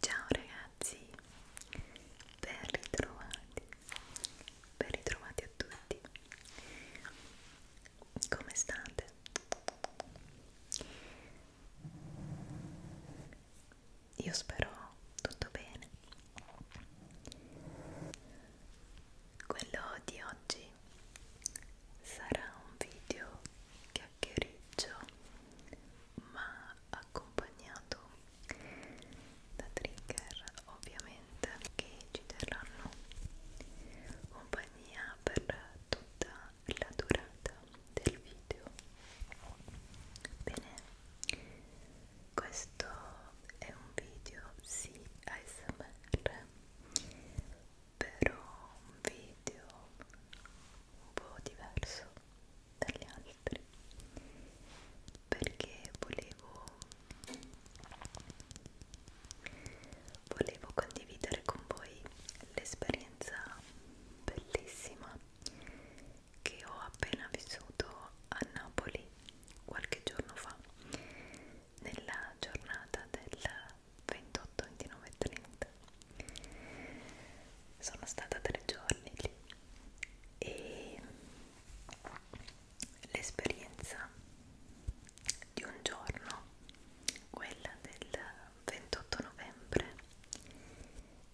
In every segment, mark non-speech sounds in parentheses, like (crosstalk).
Ciao ragazzi, ben ritrovati, ben ritrovati a tutti come state? Io spero tutto bene. Quello di oggi sarà un video chiacchiericcio ma accompagnato da trigger ovviamente che ci terranno compagnia per tutta la durata del video bene questo è un video sì ASMR però un video un po' diverso dagli altri perché volevo volevo condividere con voi l'esperienza bellissima che ho appena vissuto a Napoli qualche giorno fa nella giornata del 28 29 30 sono stata tre giorni lì e l'esperienza di un giorno, quella del 28 novembre,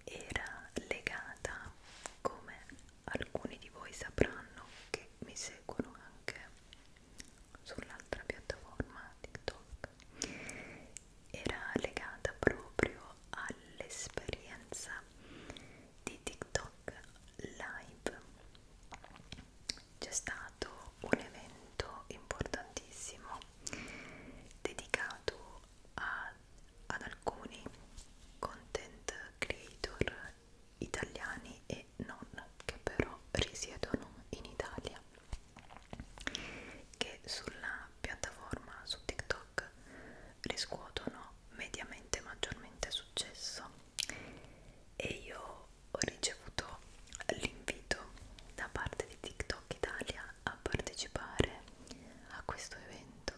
era legata, come alcuni di voi sapranno che mi seguono anche sull'altra piattaforma TikTok, era legata proprio all'esperienza di TikTok live c'è stato un evento importantissimo dedicato a, ad alcuni content creator italiani e non che però risiedono in Italia che sulla piattaforma su TikTok riscuotono mediamente maggiormente successo e io ho ricevuto l'invito da parte di TikTok Italia a partecipare a questo evento.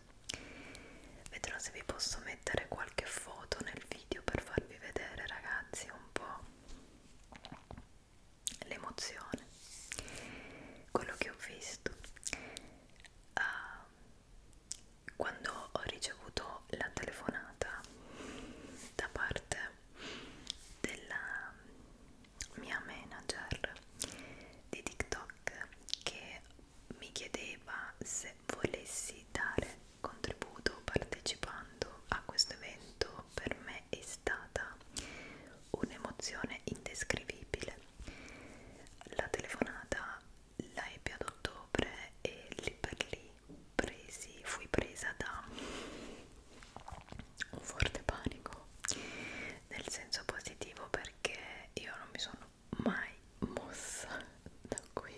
Vedrò se vi posso mettere qualche foto nel video per farvi vedere, ragazzi, un po' l'emozione, quello che ho visto. Uh, quando ho ricevuto la telefonata da parte della mia manager di TikTok che mi chiedeva se volessi dare contributo partecipando a questo evento per me è stata un'emozione indescrivibile la telefonata la ebbe ad ottobre e lì per lì presi, fui presa da un forte panico nel senso positivo perché io non mi sono mai mossa da qui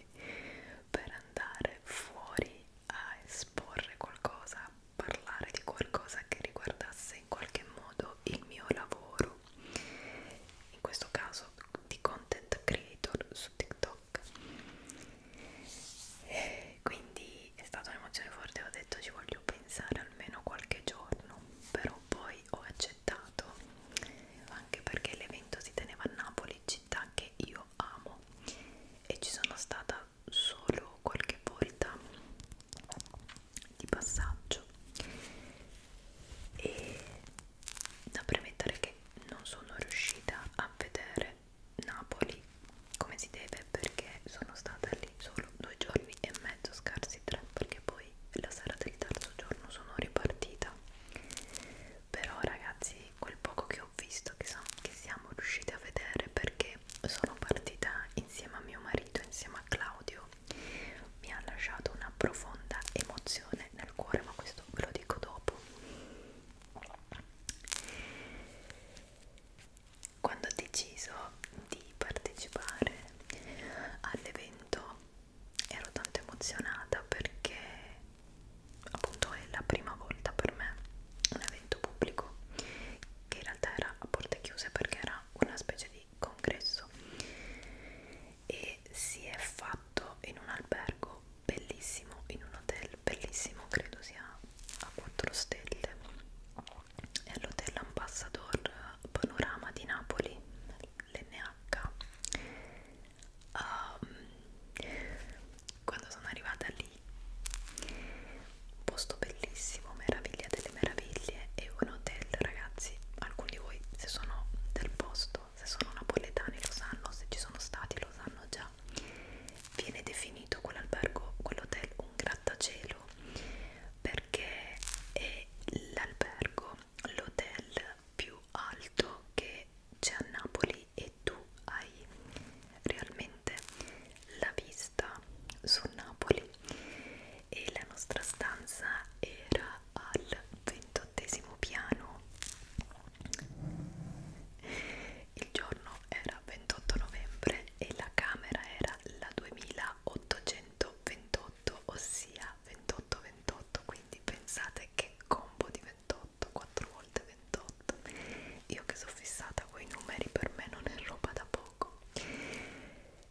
per andare fuori a esporre qualcosa, a parlare di qualcosa che riguardasse in qualche modo il mio lavoro in questo caso di content creator su TikTok quindi è stata un'emozione forte ho detto ci voglio pensare almeno qualche giorno però poi ho accettato anche perché l'evento si teneva a Napoli città che io amo e ci sono stata solo qualche volta di passaggio e da premettere che non sono riuscita a vedere Napoli come si deve perché sono stata lì solo due giorni e mezzo, scarsi tre, perché poi la sera del terzo giorno sono ripartita. Però ragazzi, quel poco che ho visto, che, so, che siamo riusciti a vedere perché sono partita insieme a mio marito, insieme a Claudio, mi ha lasciato una profonda emozione nel cuore, ma questo ve lo dico dopo quando ho deciso di partecipare all'evento ero tanto emozionata perché appunto è la prima volta per me un evento pubblico che in realtà era a porte chiuse perché era una specie di congresso e si è fatto in un albergo bellissimo in un hotel bellissimo credo sia a 4 stelle è l'hotel Ambassador Panorama di Napoli, l'NH. Um, ehm, quando sono arrivata lì, un posto bellissimo, meraviglia delle meraviglie, e un hotel, ragazzi, alcuni di voi se sono del posto, se sono napoletani lo sanno, se ci sono stati lo sanno già Viene definito quell'albergo, quell'hotel un grattacielo perché è l'albergo, l'hotel più alto che c'è a Napoli e tu hai realmente la vista su Napoli e la nostra stanza era al ventottesimo piano il giorno era 28 novembre e la camera era la 2828 ossia 28 28 quindi pensate che combo di 28 4 volte 28 io che sono fissata con i numeri per me non è roba da poco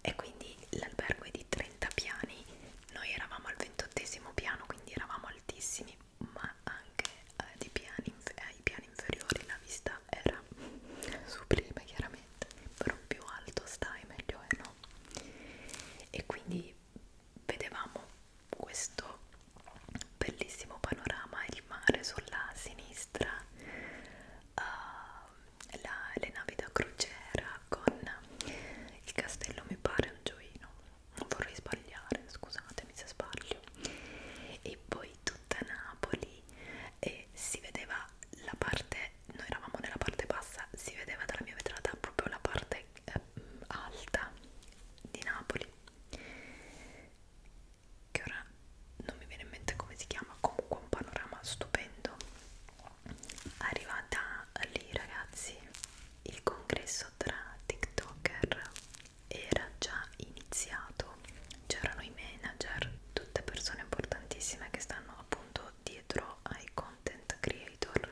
e quindi l'albergo è di 30 piani noi eravamo al 28 piano quindi eravamo altissimi ma anche eh, di piani, ai piani inferiori la vista qualità era sublime chiaramente però più alto stai meglio è no e quindi vedevamo questo bellissimo panorama il mare sulla sinistra uh, la, le navi da crociera con il castello mi pare Angioino non vorrei sbagliare scusatemi se sbaglio e poi tutta Napoli e si vedeva la parte, noi eravamo nella parte bassa, si vedeva dalla mia vetrata proprio la parte eh, alta di Napoli che ora non mi viene in mente come si chiama, comunque un panorama stupendo arrivata lì ragazzi il congresso tra tiktoker era già iniziato, c'erano i manager, tutte persone importantissime che stanno appunto dietro ai content creator.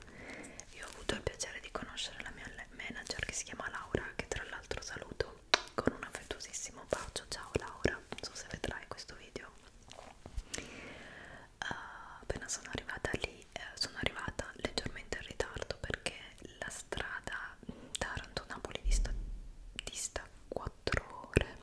Io ho avuto il piacere di conoscere la mia manager che si chiama Laura, che tra l'altro saluto con un affettuosissimo bacio. Ciao Laura, non so se vedrai questo video. Uh, appena sono arrivata lì, eh, sono arrivata leggermente in ritardo perché la strada Taranto-Napoli dista, dista 4 ore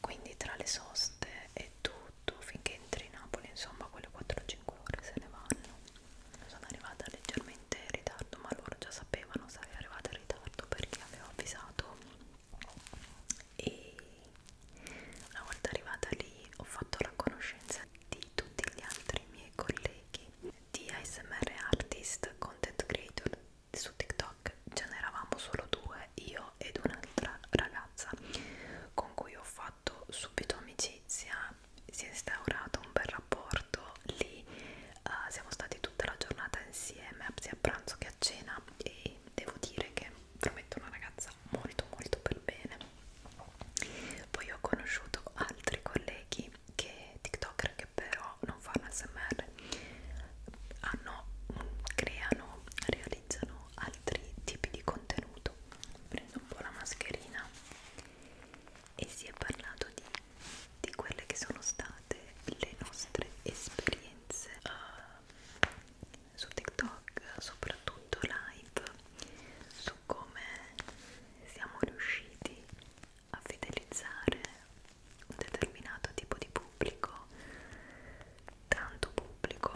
quindi tra le soste e tutto finché entri in Napoli insomma quelle 4-5 ore se ne vanno sono arrivata leggermente in ritardo ma loro già sapevano sarei arrivata in ritardo perché avevo avvisato e una volta arrivata lì ho fatto la conoscenza di tutti gli altri miei colleghi di ASMR artist, content creator su TikTok ce n'eravamo solo due, io ed un'altra ragazza con cui ho fatto subito amicizia, si è instaurato un bel rapporto lì, uh, siamo stati tutta la giornata insieme sia a pranzo che a cena e devo dire che prometto una ragazza molto molto per bene. Poi ho conosciuto altri colleghi che tiktoker che però non fanno smr hanno, creano, realizzano altri tipi di contenuto prendo un po' la mascherina e si è parlato di, di quelle che sono state le nostre esperienze uh, su tiktok soprattutto live su come siamo riusciti a fidelizzare un determinato tipo di pubblico, tanto pubblico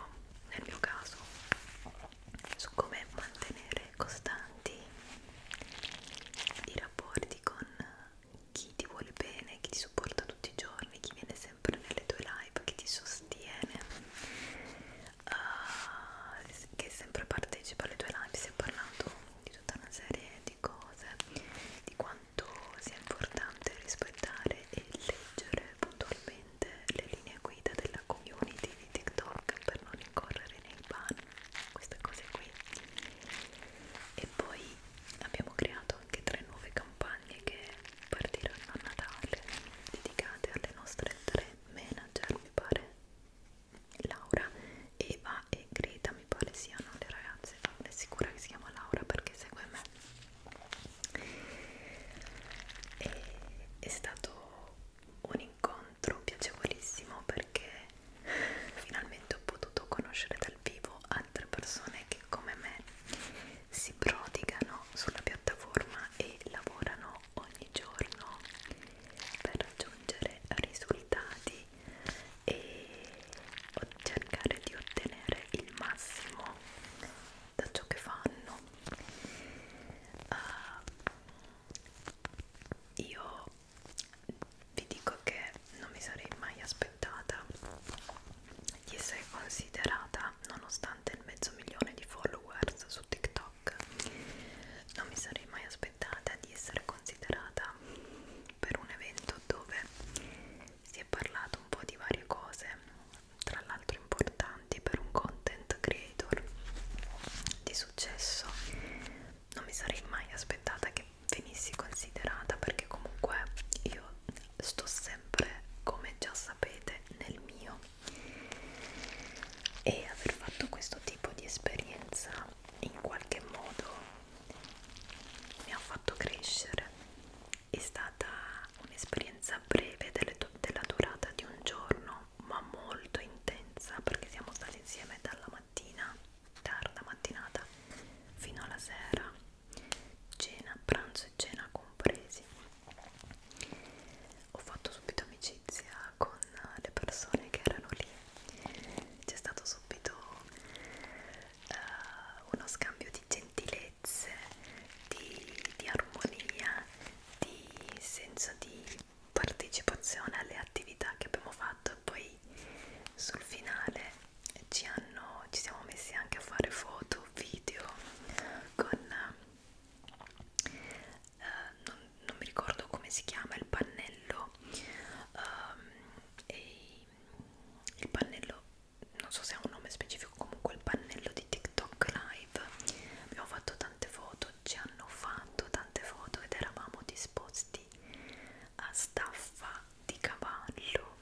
nel mio caso, su come mantenere costanti i rapporti con chi ti vuole bene, chi ti supporta tutti i giorni, chi viene sempre nelle tue live, chi ti sostiene, uh, che sempre partecipa alle tue live, si è parlato di tutta una serie di cose, di quanto sia importante rispettare e leggere puntualmente le linee guida della community di TikTok per non incorrere nei ban, queste cose qui. E poi abbiamo creato anche tre nuove campagne che partiranno a Natale, dedicate alle nostre tre manager, mi pare Laura, Eva e Greta mi pare siano le ragazze, sono sicura che si chiama Laura perché segue me. E è stato un incontro piacevolissimo perché finalmente ho potuto conoscere dal vivo altre persone che come me si prodigano sulla piattaforma e lavorano ogni giorno per raggiungere risultati e cercare di ottenere il massimo da ciò che fanno uh, io vi dico che non mi sarei mai aspettata di essere considerata nonostante il mezzo milione di followers su TikTok non mi sarei mai aspettata di essere considerata per un evento dove si è parlato un po' di varie cose, tra l'altro importanti per un content creator di successo. Non mi sarei mai aspettata che venissi considerata perché comunque io sto sempre, come già sapete, nel mio e aver fatto questo tipo di esperienza in qualche modo mi ha fatto crescere è stata un'esperienza breve della durata di un giorno ma molto intensa perché siamo stati insieme dalla mattina tarda mattinata fino alla sera cena, pranzo e cena compresi ho fatto subito amicizia con le persone che erano lì c'è stato subito uh, uno scambio di gentilezze, di, di armonia, di senso di partecipazione alle attività che abbiamo fatto e poi sul finale ci, hanno, ci siamo messi anche a fare foto, video con uh, non, non mi ricordo come si chiama il pannello um, e il pannello non so se ha un nome specifico comunque il pannello di TikTok live abbiamo fatto tante foto ci hanno fatto tante foto ed eravamo disposti a staffa di cavallo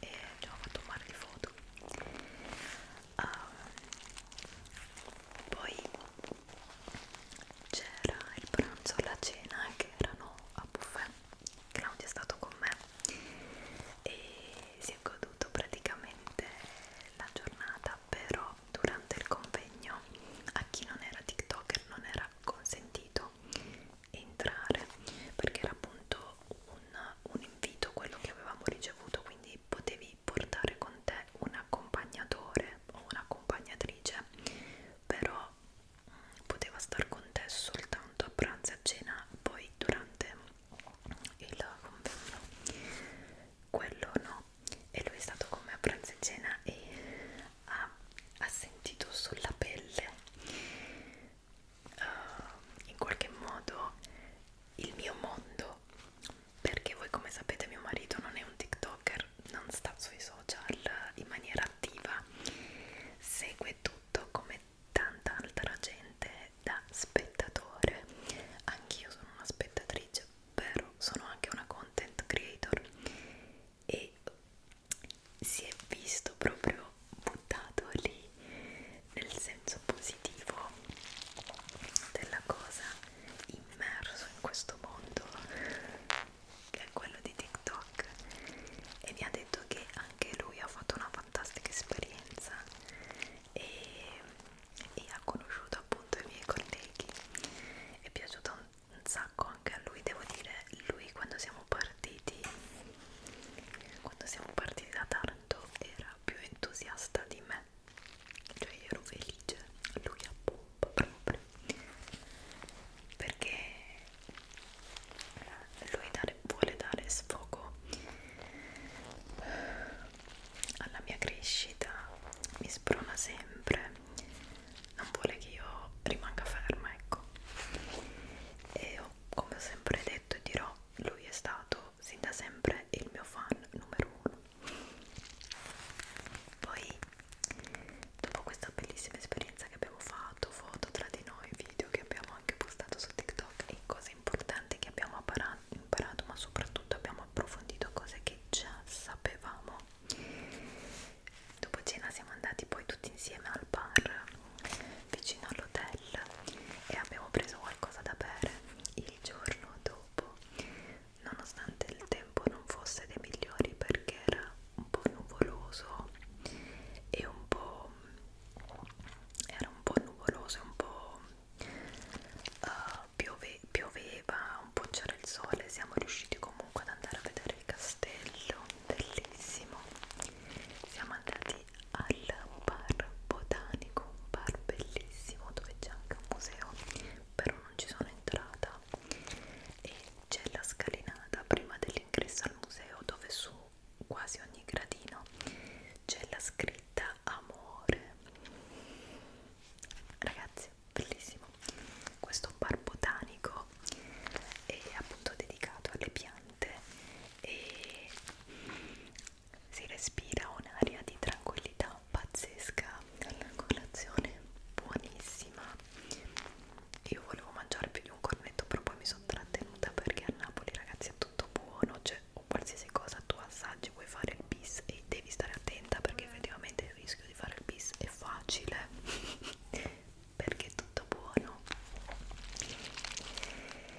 e abbiamo fatto un mare di foto um, poi c'era il pranzo e la cena che erano a buffet Claudio è stato con me e si è goduto praticamente la giornata però durante il convegno a chi non era tiktoker non era consentito entrare perché era appunto un, un invito quello che avevamo ricevuto quindi potevi portare con te un accompagnatore o un'accompagnatrice però poteva star con te soltanto a pranzo e a cena poi durante il convegno quello no e lui è stato con me a pranzo e cena e ha, ha sentito sulla pelle uh, in qualche modo il mio mondo perché voi come sapete mio marito non è un tiktoker, non sta sui social in maniera attiva, segue tutto come tanta altra gente da spettatore. Anch'io sono una spettatrice, però sono anche una content creator e si è visto proprio buttato lì nel senso positivo della cosa immerso in questo mondo che è quello di TikTok e mi ha detto che anche lui ha fatto una fantastica esperienza e, e ha conosciuto appunto i miei colleghi è piaciuto un, un sacco anche a lui devo dire lui quando siamo partiti quando siamo partiti da Taranto era più entusiasta di me cioè io ero felice lui appunto troppo proprio perché lui dare, vuole dare sfogo alla mia crescita mi sprona sempre non vuole che io rimanga ferma ecco e ho, come ho sempre detto e dirò lui è stato sin da sempre il mio fan numero uno poi dopo questa bellissima esperienza che abbiamo fatto, foto tra di noi, video che abbiamo anche postato su TikTok e cose importanti che abbiamo imparato, ma soprattutto abbiamo approfondito cose che già sapevamo. Dopo cena siamo andati poi tutti insieme al bar vicino all'hotel e abbiamo preso qualcosa da bere il giorno dopo nonostante il tempo non fosse dei migliori perché era un po' nuvoloso e un po' era un po' nuvoloso, un po' uh, piove, pioveva, un po' c'era il sole, siamo riusciti comunque ad andare a vedere il castello, bellissimo. Siamo andati al bar botanico, un bar bellissimo dove c'è anche un museo, però non ci sono entrata e c'è la scalinata prima dell'ingresso al museo dove su quasi ogni gradino c'è la scritta amore ragazzi bellissimo questo è un bar botanico è appunto dedicato alle piante e si respira un'aria di tranquillità pazzesca alla colazione buonissima io volevo mangiare più di un cornetto però poi mi sono trattenuta perché a Napoli ragazzi è tutto buono cioè o qualsiasi cosa tu assaggi vuoi fare il bis e devi stare attenta perché mm. effettivamente il rischio di fare il bis è facile (laughs) perché è tutto buono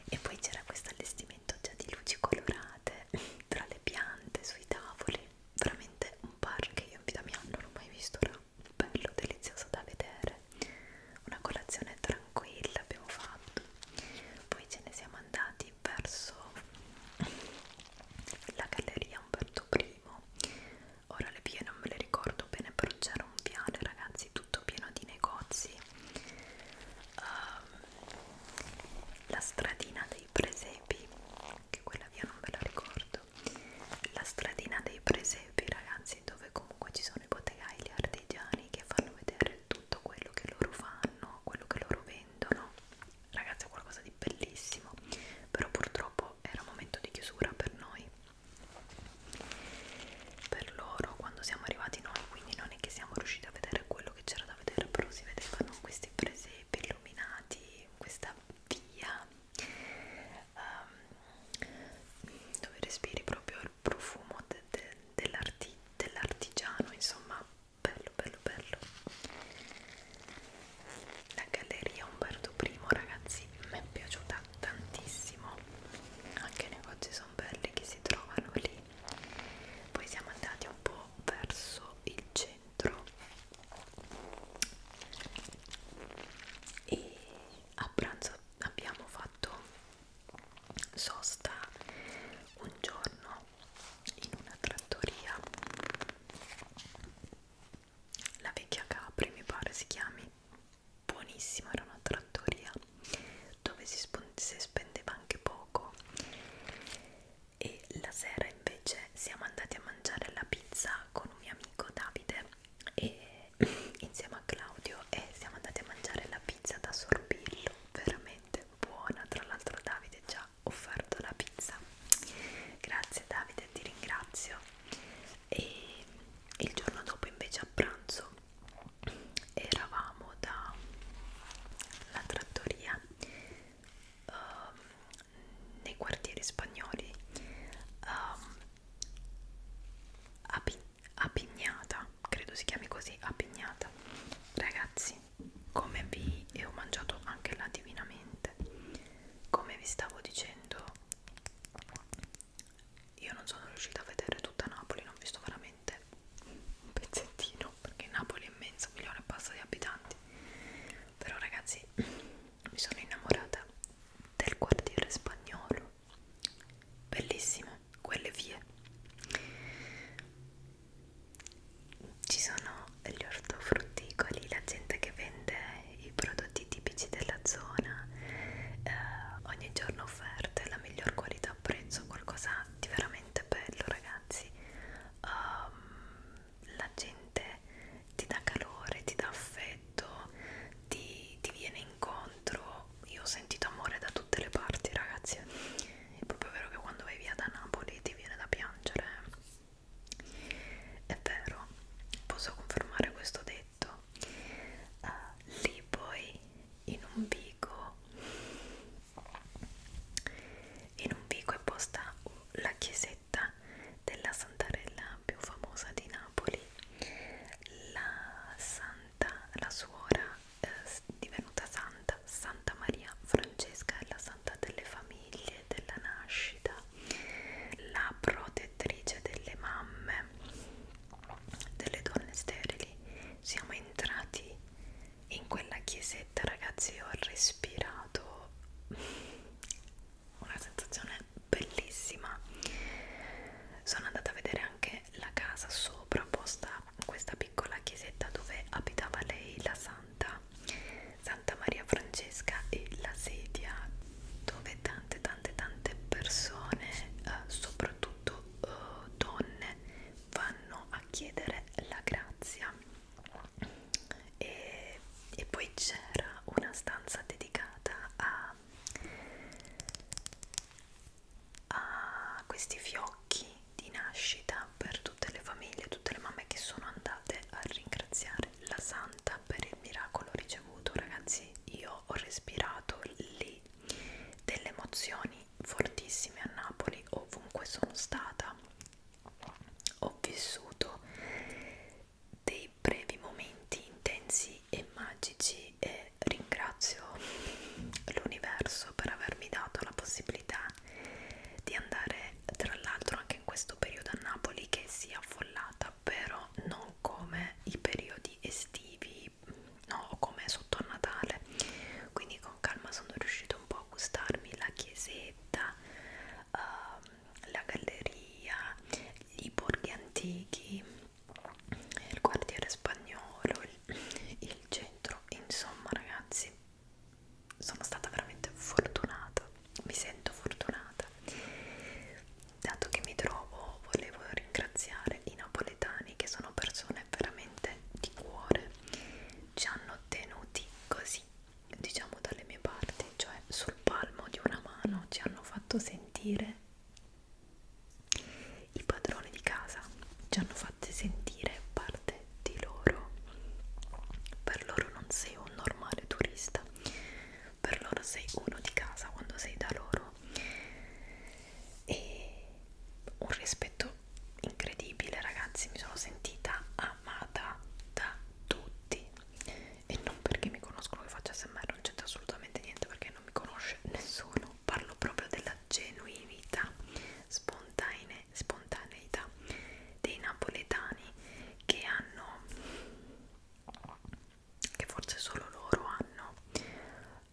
e poi c'era questo allestimento già di luci colorate (laughs) tra le piante sui tavoli veramente un bar che io in vita mia non ho mai visto raga bello, delizioso da vedere una colazione tranquilla abbiamo fatto poi ce ne siamo andati verso la galleria Umberto I ora le vie non me le ricordo bene però c'era un piano ragazzi tutto pieno di negozi um, la stradina dei presepi che quella via non ve la ricordo la stradina dei presepi ragazzi dove comunque ci sono i bottegai, gli artigiani che fanno vedere tutto quello che loro fanno, quello che loro vendono ragazzi è qualcosa di bellissimo però purtroppo era un momento di chiusura per noi per loro quando siamo arrivati noi quindi non è che siamo riusciti a vedere quello che c'era da vedere però si vedevano questi presepi illuminati questa via um, dove respiri proprio il profumo de, de, dell'arti, dell'artigiano insomma bello bello bello la galleria Umberto I ragazzi mi è piaciuta tantissimo anche i negozi sono belli che si trovano lì poi siamo andati un po' verso il centro e a pranzo abbiamo fatto sosta un giorno in una trattoria la vecchia Capri mi pare si chiami buonissima era una trattoria dove si, si spendeva anche poco e la sera invece siamo andati a mangiare la pizza con un mio amico Davide e (laughs) insieme a Claudio e siamo andati a mangiare la pizza da sorbillo veramente buona tra l'altro Davide ci ha offerto la pizza grazie Davide ti ringrazio e il giorno dopo invece a pranzo eravamo da la trattoria um, nei quartieri spagnoli um, Api apignata, credo si chiami così, apignata. Ragazzi, come vi e ho mangiato anche là divinamente. Come vi stavo dicendo, io non sono riuscita a vedere tutta Napoli, non ho visto veramente un pezzettino, perché Napoli è immensa, milione e passa di abitanti. Però ragazzi, mi sono innamorata del quartiere spagnolo bellissime quelle vie ci sono gli ortofrutticoli la gente che vende i prodotti tipici della zona eh, ogni giorno offerte la miglior qualità a prezzo qualcosa di veramente bello ragazzi um, la gente veramente ti dà calore, ti dà affetto, ti, ti viene incontro. Io ho sentito amore da tutte le parti, ragazzi. È proprio vero che quando vai via da Napoli ti viene da piangere. Eh. È vero, posso confermare questo detto. Uh, lì poi in un vico in un vico è posta la chiesetta chiesetta della santarella più famosa di Napoli, la santa, la suora eh, divenuta santa, Santa Maria Francesca è la santa delle famiglie, della nascita, la protettrice delle mamme, delle donne sterili. Siamo entrati in quella chiesetta, ragazzi, ho respirato una sensazione bellissima sono andata a vedere anche la casa sopra posta questa piccola chiesetta dove abitava lei la santa Santa Maria Francesca e la sedia dove tante tante tante persone eh, soprattutto eh, donne vanno a chiedere la grazia e, e poi c'era una stanza dedicata a a questi fiocchi di nascita per tutte le famiglie, tutte le mamme che sono andate a ringraziare la santa per il miracolo ricevuto. Ragazzi, io ho respirato lì delle emozioni fortissime a Napoli, ovunque sono stata ho vissuto dei brevi momenti intensi e magici e ringrazio l'universo per avermi dato la possibilità di andare tra l'altro anche in questo periodo a Napoli che si è affollata però non come i periodi estivi no come sotto a Natale quindi con calma sono riuscito un po' a gustarmi la chiesetta um, la galleria, i borghi antichi, il quartiere spagnolo, il, il centro, insomma ragazzi sono stata veramente fortunata, mi sento fortunata. Dato che mi trovo volevo ringraziare i napoletani che sono persone veramente di cuore, ci hanno tenuti così, diciamo dalle mie parti, cioè sul palmo di una mano ci hanno fatto sentire i padroni di casa ci hanno fatti sentire parte di loro. Per loro non sei un normale turista, per loro sei uno di casa quando sei da loro. E un rispetto incredibile, ragazzi, mi sono sentita amata da tutti e non perché mi conoscono che faccio smr non c'entra assolutamente niente perché non mi conosce nessuno parlo proprio della genuinità spontanee, spontaneità dei napoletani che hanno che forse solo loro hanno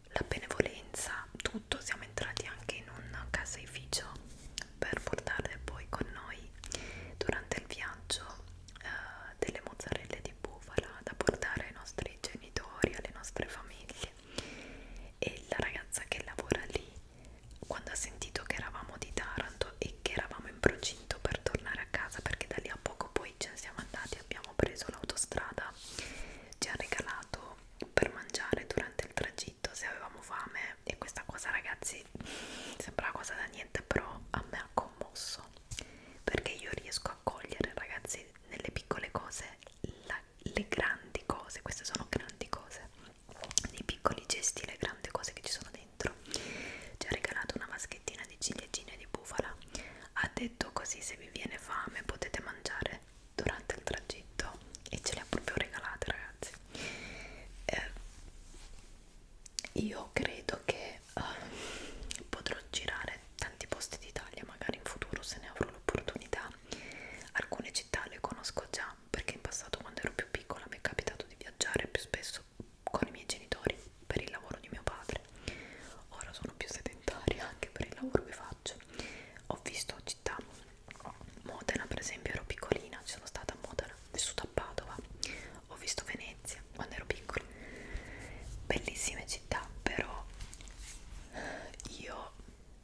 la benevolenza tutto siamo entrati anche in un caseificio per portarle poi con noi durante il viaggio uh, delle mozzarelle di bufala da portare ai nostri genitori, alle nostre famiglie e la ragazza che lavora lì quando ha sentito che eravamo di Taranto e che eravamo in procinto per tornare a casa perché da lì a poco poi ce ne siamo andati abbiamo preso l'autostrada ci ha regalato per mangiare durante il tragitto se avevamo fame e questa cosa ragazzi sembra una cosa da niente però a me ha commosso perché io riesco a cogliere ragazzi nelle piccole cose la, le grandi cose queste sono grandi cose nei piccoli gesti le grandi cose che ci sono dentro ci ha regalato una vaschettina di ciliegine di bufala ha detto così se vi viene fame potete mangiare durante il tragitto e ce le ha proprio regalate ragazzi eh, io credo che uh, potrò girare tanti posti d'Italia magari in futuro se ne avrò l'opportunità alcune città le conosco già perché in passato quando ero più piccola mi è capitato di viaggiare più spesso con i miei genitori per il lavoro di mio padre ora sono più sedentaria anche per il lavoro che faccio ho visto città Modena per esempio ero piccolina ci sono stata a Modena vissuta a Padova ho visto Venezia quando ero piccola bellissime città però io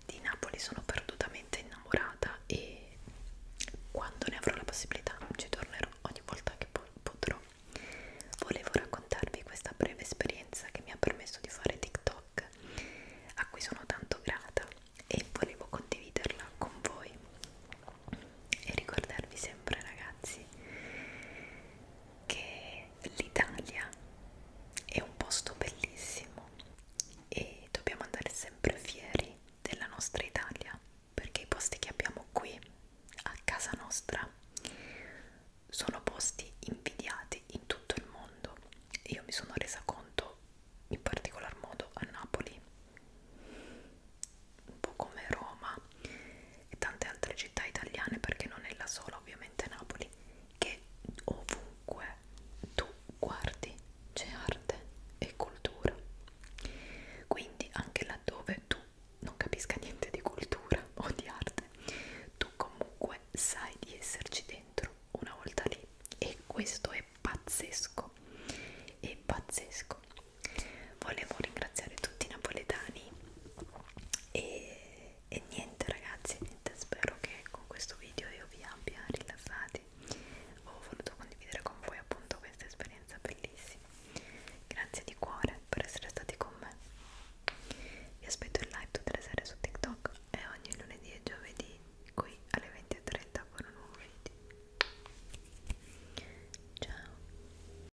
di Napoli sono perdutamente innamorata e quando ne avrò la possibilità ci tornerò ogni volta che potrò volevo raccontarvi questa breve esperienza che mi ha permesso di fare TikTok a cui sono tanto grata e volevo condividerla con voi e ricordarvi sempre ragazzi che l'Italia è un posto bellissimo e dobbiamo andare sempre fieri della nostra Italia perché i posti che abbiamo qui a casa nostra sono posti invidiati in tutto il mondo e io mi sono resa conto in particolar modo a Napoli un po' come Roma e tante altre città italiane perché non è la sola ovviamente Napoli che ovunque tu guardi c'è arte e cultura quindi anche laddove tu non capisca niente di cultura (laughs) o di arte tu comunque sai di esserci dentro una volta lì e questo è pazzesco è pazzesco volevo ringraziare tutti i napoletani e, e niente ragazzi niente, spero che con questo video io vi abbia rilassati ho voluto condividere con voi appunto questa esperienza bellissima grazie di cuore per essere stati con me vi aspetto in live tutte le sere su TikTok e ogni lunedì e giovedì qui alle 20.30 con un nuovo video ciao